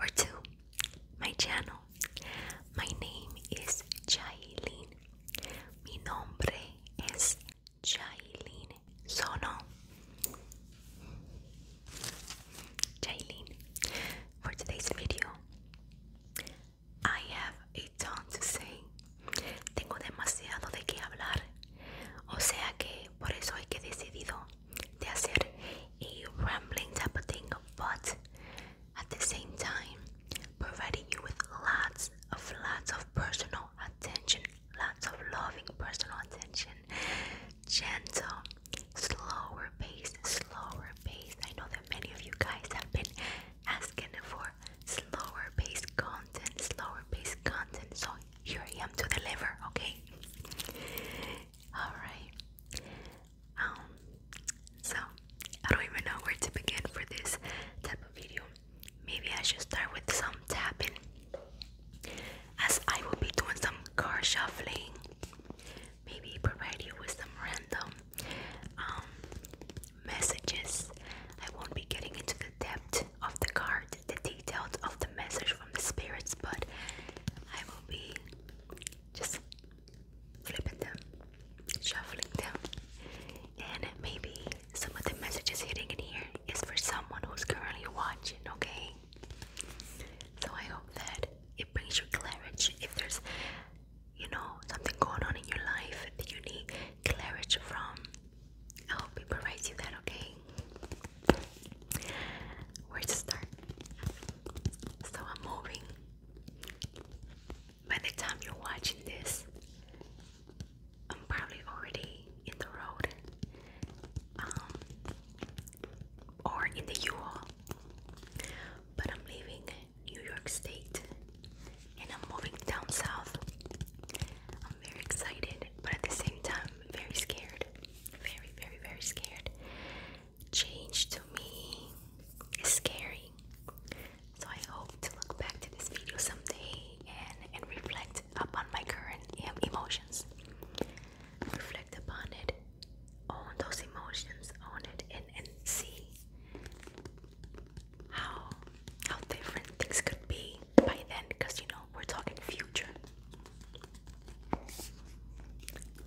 or two my channel. My name is Jailin. Mi nombre es Jailin Sono. Jailin, for today's video, I have a ton to say. Tengo demasiado de qué hablar. O sea que por eso es que he decidido that's it a rambling type of thing but at the same time providing you with lots of lots of personal attention lots of loving personal attention gentle slower pace slower pace i know that many of you guys have been asking for slower pace content slower pace content so here i am to deliver okay all right um, so I don't even know where to begin for this type of video. Maybe I should start with some tapping, as I will be doing some car shuffling. Maybe provide you with some random um, messages. I won't be getting into the depth of the card, the details of the message from the spirits, but I will be just flipping them, shuffling them, and maybe some of the messages hitting in here is for someone who's currently watching, okay? So I hope that it brings you clarity. If there's, you know, something going on in your life that you need clarity from, I hope it provides you that, okay? Where to start? So I'm moving. By the time you're watching this, I'm probably already in the road um, or in the u But I'm leaving New York State and I'm moving down south. I'm very excited, but at the same time, very scared. Very, very, very scared change to me is scary. So I hope to look back to this video someday and, and reflect upon my current emotions. Reflect upon it, own those emotions, own it, and, and see how how different things could be by then. Because you know we're talking future.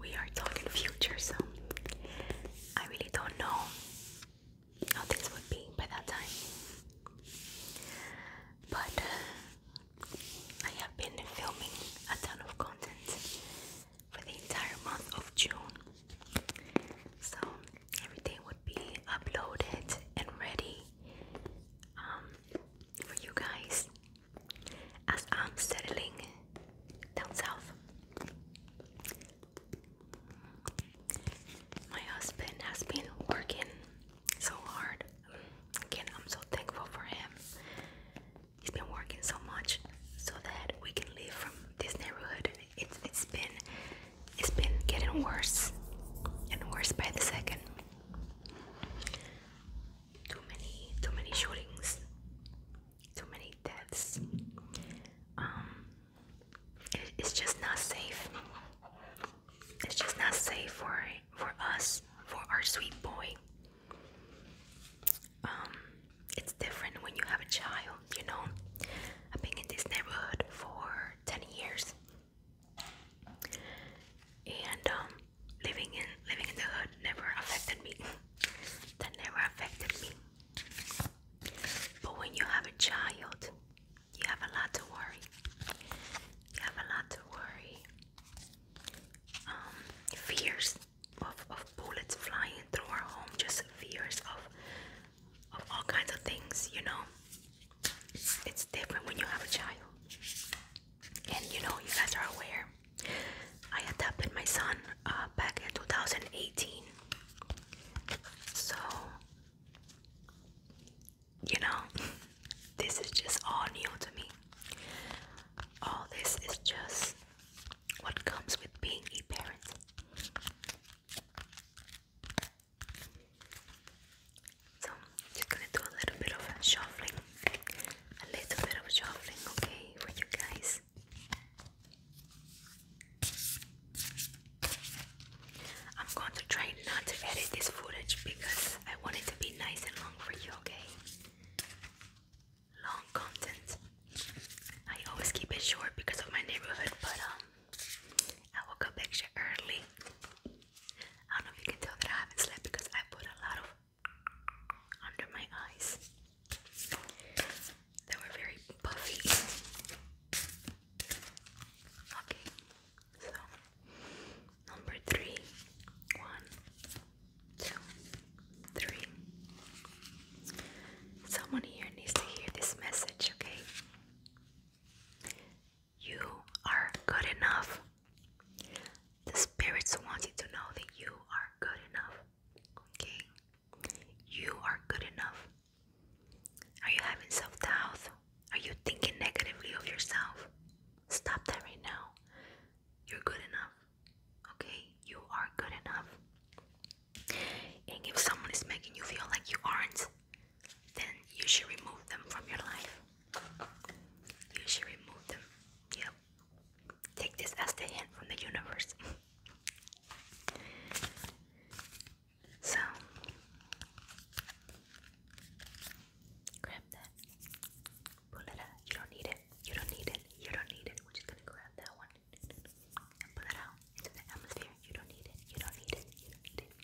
We are talking future, so I really don't know how things would be by that time. But uh, I have been filming a ton of content for the entire month of June. So everything would be uploaded and ready um, for you guys as I'm settling down south. My husband has been working so hard. Again, I'm so thankful for him. He's been working so much so that we can live from this neighborhood. It's it's been it's been getting worse and worse by the second too many too many shootings, too many deaths. Um, it's just not safe. It's just not safe for for us, for our sweet boy. Um, it's different when you have a child, you know. I've been in this neighborhood for ten years, and um, living in living in the hood never affected me. that never affected me. But when you have a child, you have a lot to worry. You have a lot to worry. Um, fears of, of bullets flying through our home, just fears of of all kinds of things, you know. It's different when you have a child and you know you guys are aware i adopted my son uh, back in 2018 so you know this is just all new to me all this is just what comes with being a parent so just gonna do a little bit of shuffling a little bit of shuffling, okay, for you guys. I'm going to try not to edit this footage because I want it to be nice and long for you, okay? Long content. I always keep it short because of my neighborhood, but um, I woke up extra early. I don't know if you can tell that I haven't slept because I put a lot of under my eyes that were very puffy. Okay, so number three. One, Someone here needs to hear this message, okay? You are good enough. The spirits want you to know that you are good enough. Okay? You are good enough. Are you having self doubt? Are you thinking negatively of yourself? Stop that right now. You're good enough. Okay? You are good enough. And if someone is making you feel like you aren't, then you should remove them from your life. You should remove them. Yep. Take this as the hint from the universe. so, grab that. Pull it out. You don't need it. You don't need it. You don't need it. We're just gonna grab that one pull it out into the atmosphere. You don't need it. You don't need it. You don't need it.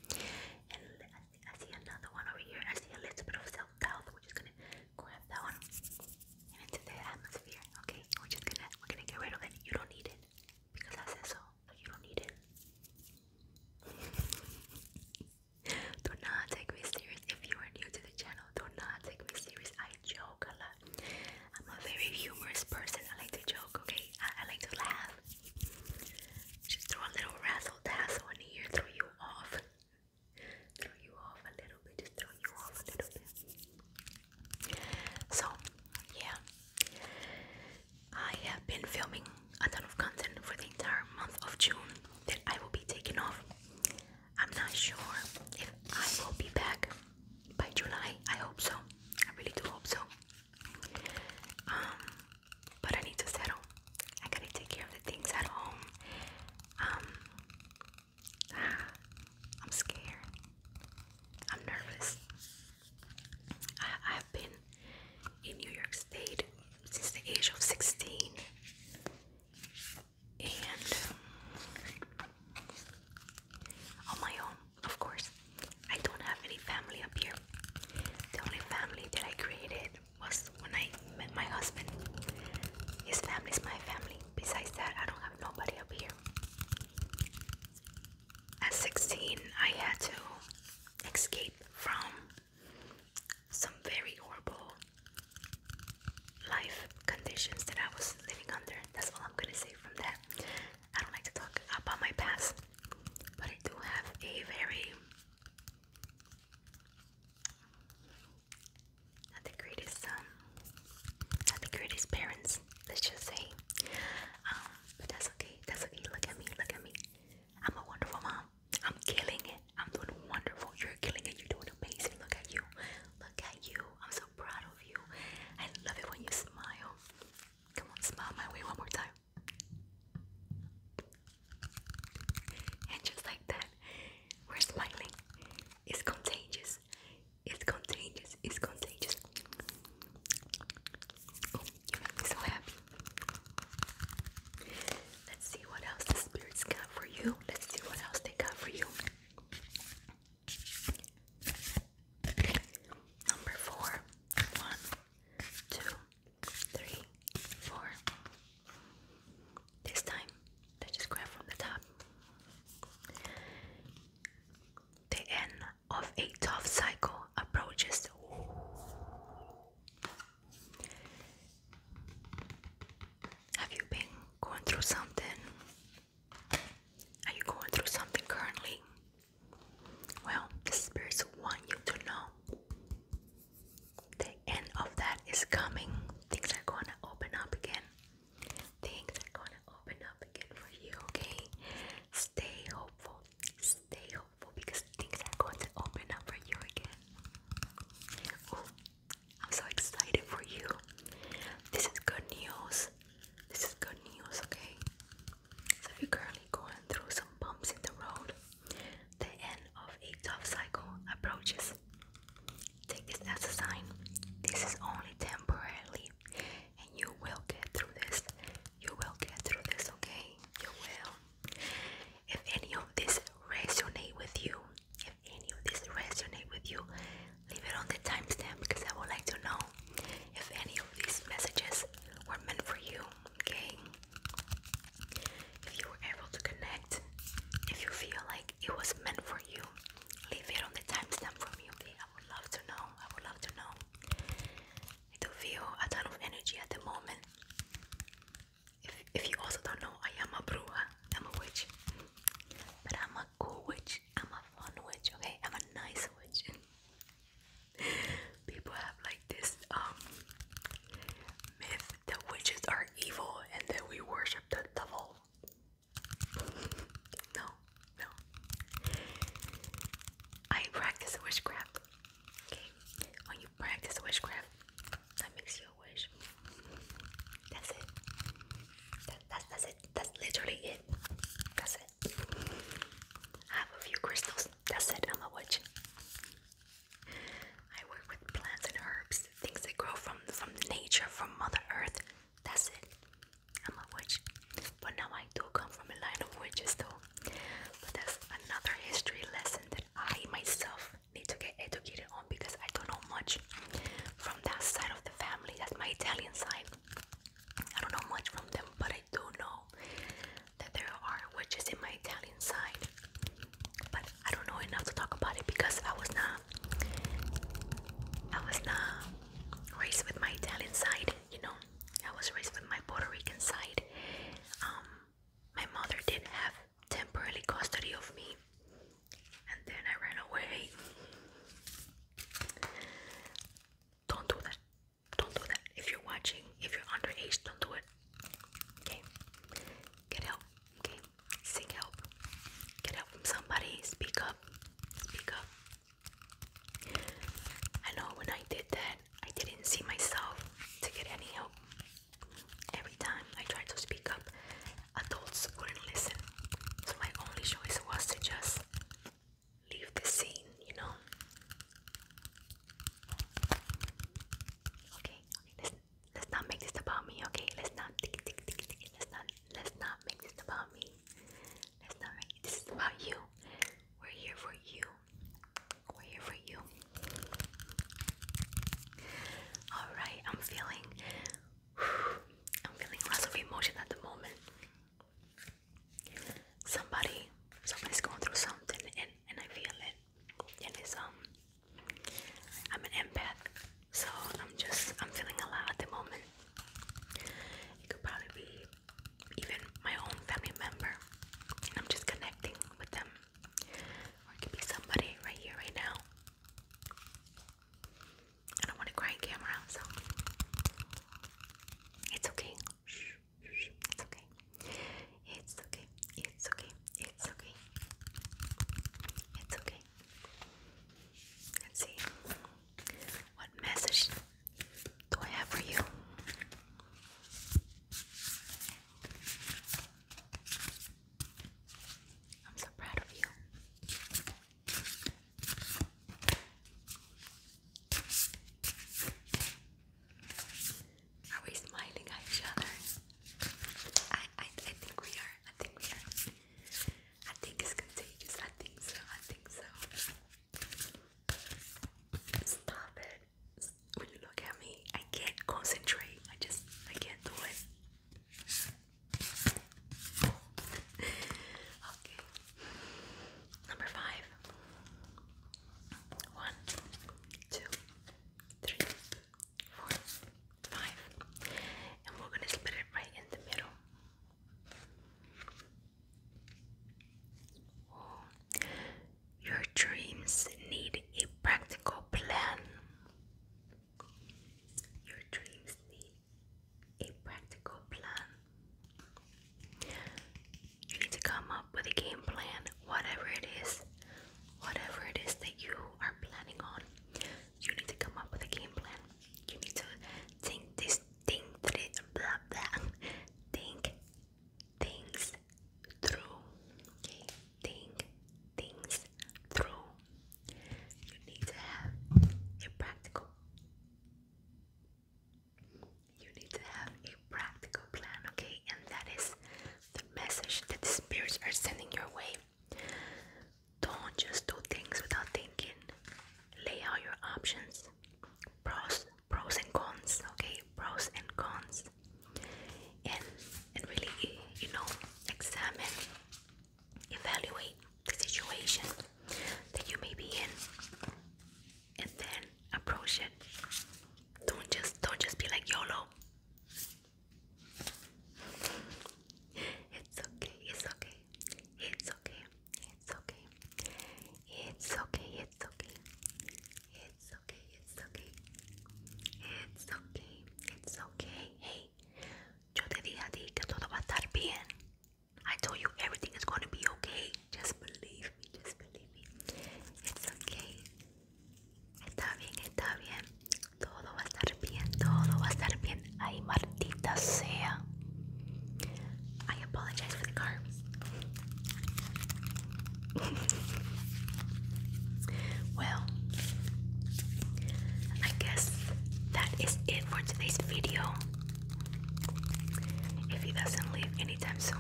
I see another one over here. I see a little bit of self-doubt. We're just gonna grab that one into the atmosphere. Okay, we're just gonna we're gonna get rid of it. You don't need it because I said so. you don't need it. do not take me serious if you are new to the channel. Do not take me serious. I joke a lot. I'm a very humorous person. I like to joke. Okay, I like to laugh. Just throw a little razzle dazzle in here, throw you off throw you off a little bit, just throw you off a little bit. So, yeah, I have been filming a ton of content for the entire month of June that I will be taking off. I'm not sure if I will be back by July. I hope so. I really do hope so. Um, but I need to settle. I gotta take care of the things at home. Um, I'm scared. I'm nervous. I, I've been in New York State since the age of 16, and um, on my own, of course. I don't have any family up here. The only family that I created was when I met my husband. His family is my family. Besides that, I don't have nobody up here. At 16, I had to escape from some very horrible life conditions that I was living under. That's all I'm gonna say from that. I don't like to talk about my past, but I do have a very not the greatest um, not the greatest parents, let's just say. Um, but that's okay, that's okay. Look at me, look at me. I'm a wonderful mom. I'm killing it. I'm doing wonderful. You're killing it. You're doing amazing. Look at you. Look at you. I'm so proud of you. I love it when you smile. Come on, smile my way one more time. And just like that, we're smiling. It's contagious. It's contagious. It's contagious. you oh, make me so happy. Let's see what else the spirits got for you. Let's see what else they got for you. Number four. One, two, three, four. This time, they just grab from the top. The end of a tough cycle approaches. Have you been going through something? Are you going through something currently? Well, the spirits want you to know the end of that is coming. Things are gonna open up again. Things are gonna open up again for you, okay? Stay hopeful. Stay hopeful because things are going to open up for you again. I'm so excited for you. This is good news. This is good news, okay? So if you're currently going through some bumps in the road, the end of a tough cycle approaches. Take this as a sign. This is only temporarily, and you will get through this. You will get through this, okay? You will. If any of this resonate with you, if any of this resonate with you, leave it on the timestamp because I would like to know if any of these messages were meant for you, okay? If you were able to connect, if you feel like it was meant for you, leave it on the timestamp for me, okay? I would love to know. I would love to know. do feel a ton of energy at the moment. If, if you also don't know, I am a bruja. I'm a witch. But I'm a cool witch. I'm a fun witch, okay? I'm a nice witch people have like this um, myth that witches are evil and that we worship the devil. No, no. I practice witchcraft. Okay, when you practice witchcraft, that makes you a witch. That's it. that's, that's it. That's literally it. That's it. have a few crystals that's it, I'm a witch. I work with plants and herbs, things that grow from from nature, from Mother Earth. That's it. I'm a witch. But now I do come from a line of witches though. But that's another history lesson that I myself need to get educated on because I don't know much from that side of the family. That's my Italian side. I don't know much from them, but do know that there are witches in my Italian side, but I don't know enough to talk about it because I was not, I was not raised with my Italian side. You know, I was raised with my Puerto Rican side. Um, my mother did have temporarily custody of me, and then I ran away. Don't do that. Don't do that. If you're watching, if you're underage, don't do it. Okay? Get help. Okay? Seek help. Get help from somebody. Speak up. Speak up. I know when I did that, I didn't see myself to get any help. Every time I tried to speak up, adults wouldn't listen. So my only choice was to just leave the scene, you know? Okay, let's let's not make this about me. Okay, let's not tick tick tick Let's not let's not make this about me. Let's not make this is about you. We're here for you. We're here for you. All right, I'm feeling. I'm feeling lots of emotion at the moment. Somebody, somebody's going through something, and and I feel it. And it's um I'm an empath, so I'm just I'm feeling a lot at the moment. It could probably be even my own family member. I'm just connecting with them. Or it could be somebody right here, right now. I don't want to cry in camera, so it's okay. It's okay. It's okay. It's okay. It's okay. It's okay. Let's see. What message do I have for you? I'm so proud of you. Are we smiling at each other? I, I, I think we are. I think we are. I think it's contagious. I think so. I think so. Stop it. Will you look at me? I can't concentrate. I just, I can't do it. okay. Number five. One, two, three, four, five. And we're gonna split it right in the middle. Your dreams need a practical plan. Your dreams need a practical plan. You need to come up with a game plan, whatever it is, whatever it is that you are planning on. You need to come up with a game plan. You need to think this, think this, blah blah. Think things through. Okay, think things through. You need to have a practical you need to have a practical plan, okay? And that is the message that the spirits are sending your way. Don't just do things without thinking. Lay out your options. Pros, pros and cons, okay? Pros and cons. And and really you know, examine, evaluate the situation that you may be in and then approach it. Don't just don't just be like YOLO. It's okay, it's okay, it's okay, it's okay, it's okay, it's okay, it's okay, it's okay, it's okay, it's okay, hey, yo te dije a ti que todo va a estar bien. I told you everything is gonna be okay. Just believe me, just believe it's okay. Está bien, está bien. Todo va a estar bien, todo va a estar bien. Ay, Martita sea. I apologize for the car. well, I guess that is it for today's video if he doesn't leave anytime soon.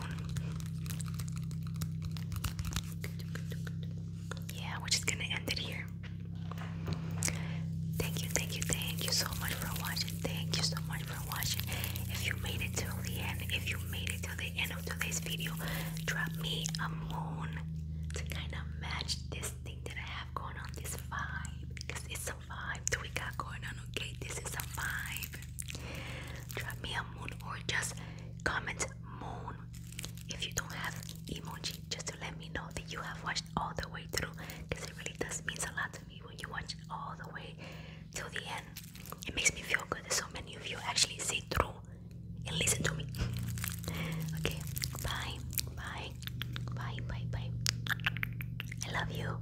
Yeah, we're just gonna end it here. Thank you, thank you, thank you so much for watching. Thank you so much for watching. If you made it till the end, if you made it till the end of today's video, drop me a moon to kind of match this thing that I have going on, this vibe, because it's so a vibe we got going on, okay? This is a vibe. Drop me a moon or just comment moon. If you don't have emoji, just to let me know that you have watched all the way through because it really does means a lot to me when you watch all the way till the end. It makes me feel good that so many of you actually see through and listen to me. okay, bye, bye, bye, bye, bye. I love you.